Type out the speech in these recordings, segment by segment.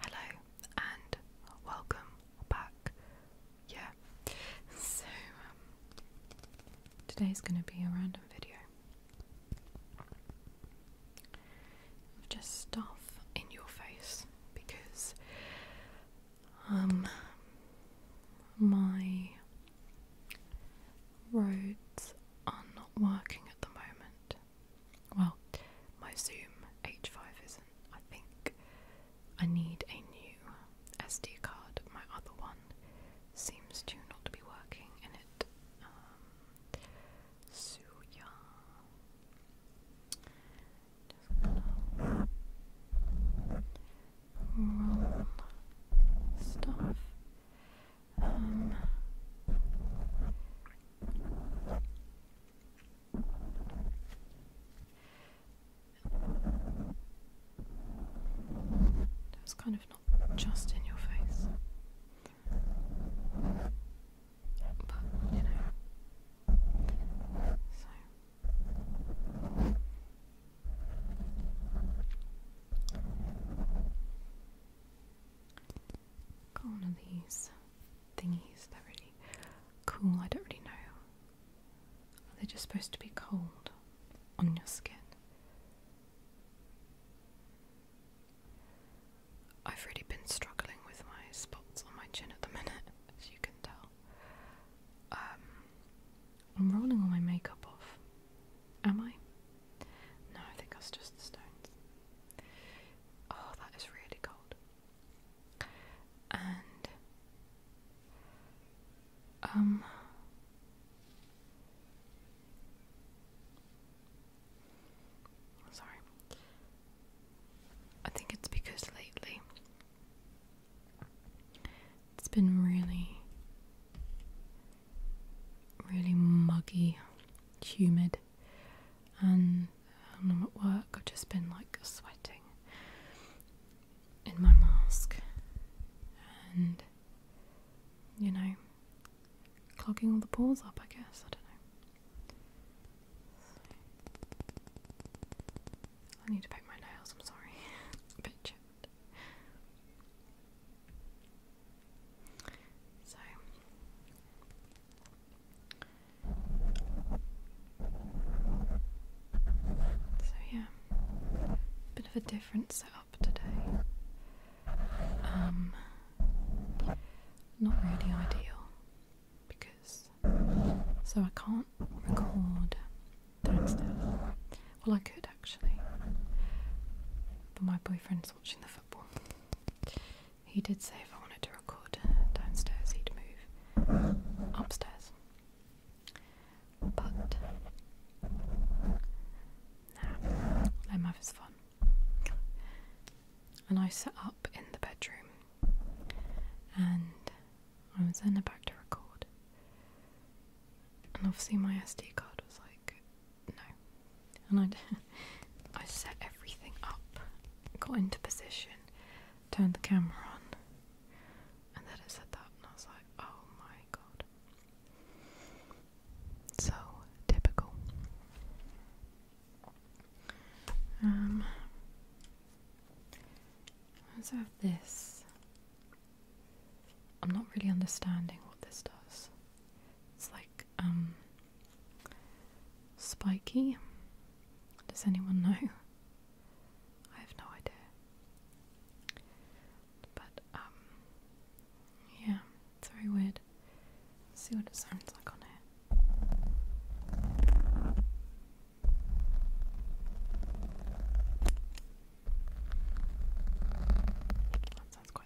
Hello and welcome back. Yeah, so um, today's going to be a random video of just stuff in your face because um, my roads are not working at the moment. Well, my Zoom H5 isn't. I think I need a new SD card. My other one seems to not be working and it. Um, so Just gonna roll stuff. Um, that kind of not just in your face. But, you know. So. Corner these thingies. They're really cool. I don't really know. Are they just supposed to be cold on your skin. I've really been struggling with my spots on my chin at the minute, as you can tell. Um, I'm rolling all my makeup off. Am I? No, I think that's just the stones. Oh, that is really cold. And um sorry. I think it's because lately it's been really really muggy, humid and um, I'm at work I've just been like sweating in my mask and you know clogging all the pores up I guess I don't know I need to paint my nails I'm sorry bit so so yeah, bit of a different setup today. Um, not really ideal because so I can't record Well, I could actually, but my boyfriend's watching the he did say if I wanted to record downstairs, he'd move upstairs. But now, let him fun. And I set up in the bedroom, and I was then about to record. And obviously, my SD card was like no. And I, I set everything up, got into position, turned the camera on, and then it said that, and I was like, oh my god. So typical. Um, let's have this. I'm not really understanding what this does. It's like, um, spiky. Does anyone know? I have no idea. But, um, yeah, very weird. see what it sounds like on here. That sounds quite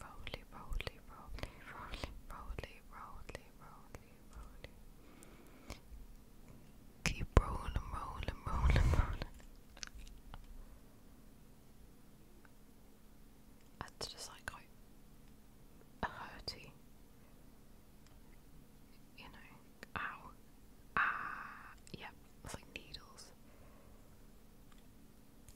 Rolly, rolly, rolly, rolly, rolly, rolly, rolly, rolly. Keep rolling, rolling, rolling, rolling. That's just like a hurty. You know, ow. Ah, yeah, it's like needles.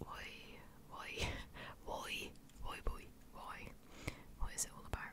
Why, why, why, why, boy, why? What is it all about?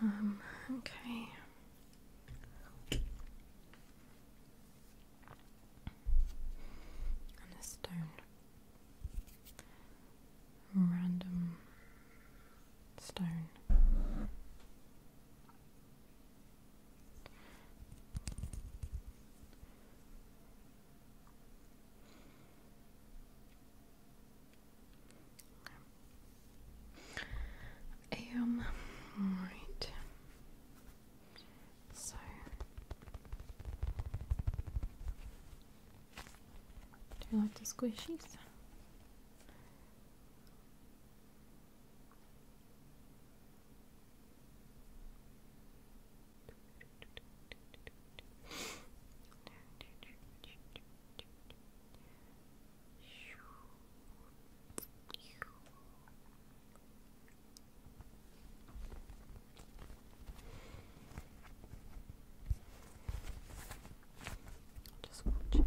Um, okay. And a stone. Random stone. Um, right. So do you like the squishies? Just watch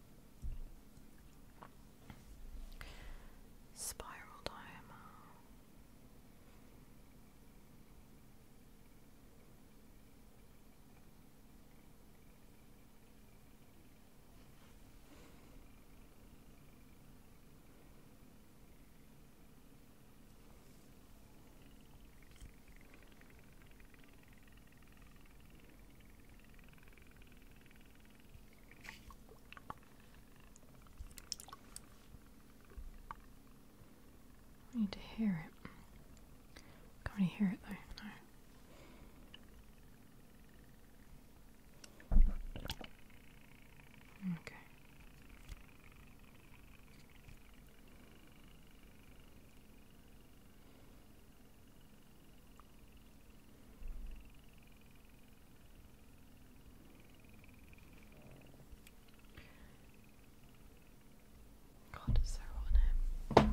Spiral Diorama. I need to hear it. Can't hear it though, Okay. God, it's so hot in here.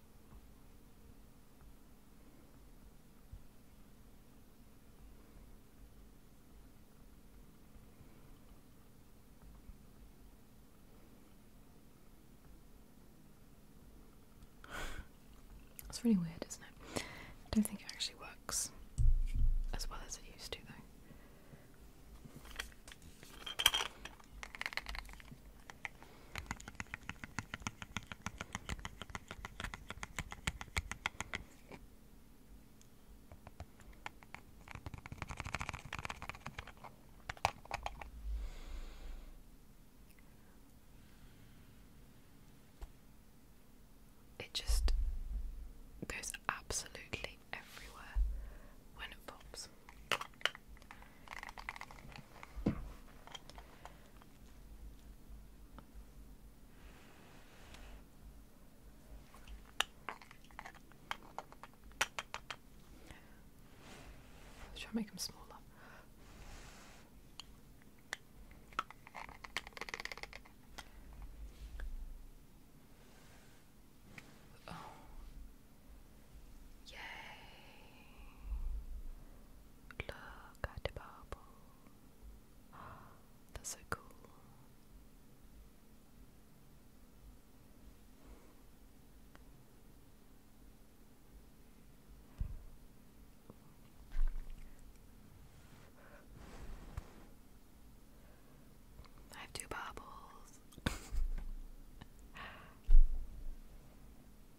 It's really weird, isn't it? I don't think it actually works as well as it used to, though. It just goes absolutely everywhere when it pops. Let's try and make them smaller. Yay! Look at the bubble. That's so cool. I have two bubbles.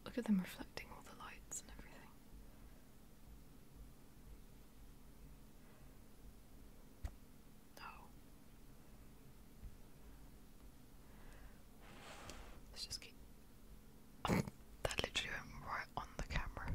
Look at them reflecting all the lights and everything. Oh. Let's just keep. that literally right on the camera.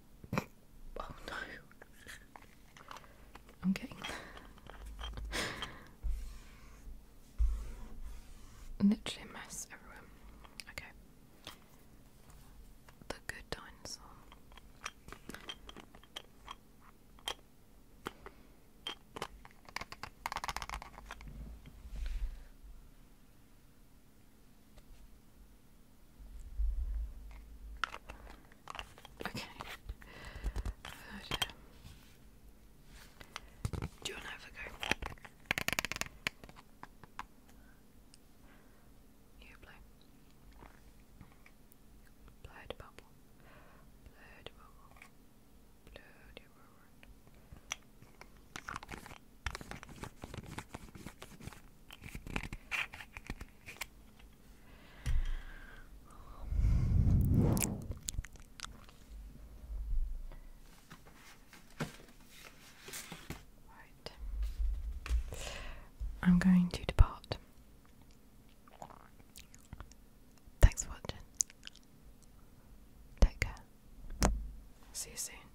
oh no. I'm getting literally a mess everywhere. Okay. The good dinosaur. Okay. Do you want to have a go? You play. Blood bubble. Blood bubble. Blood bubble. I'm going to depart. Thanks for watching. Take care. See you soon.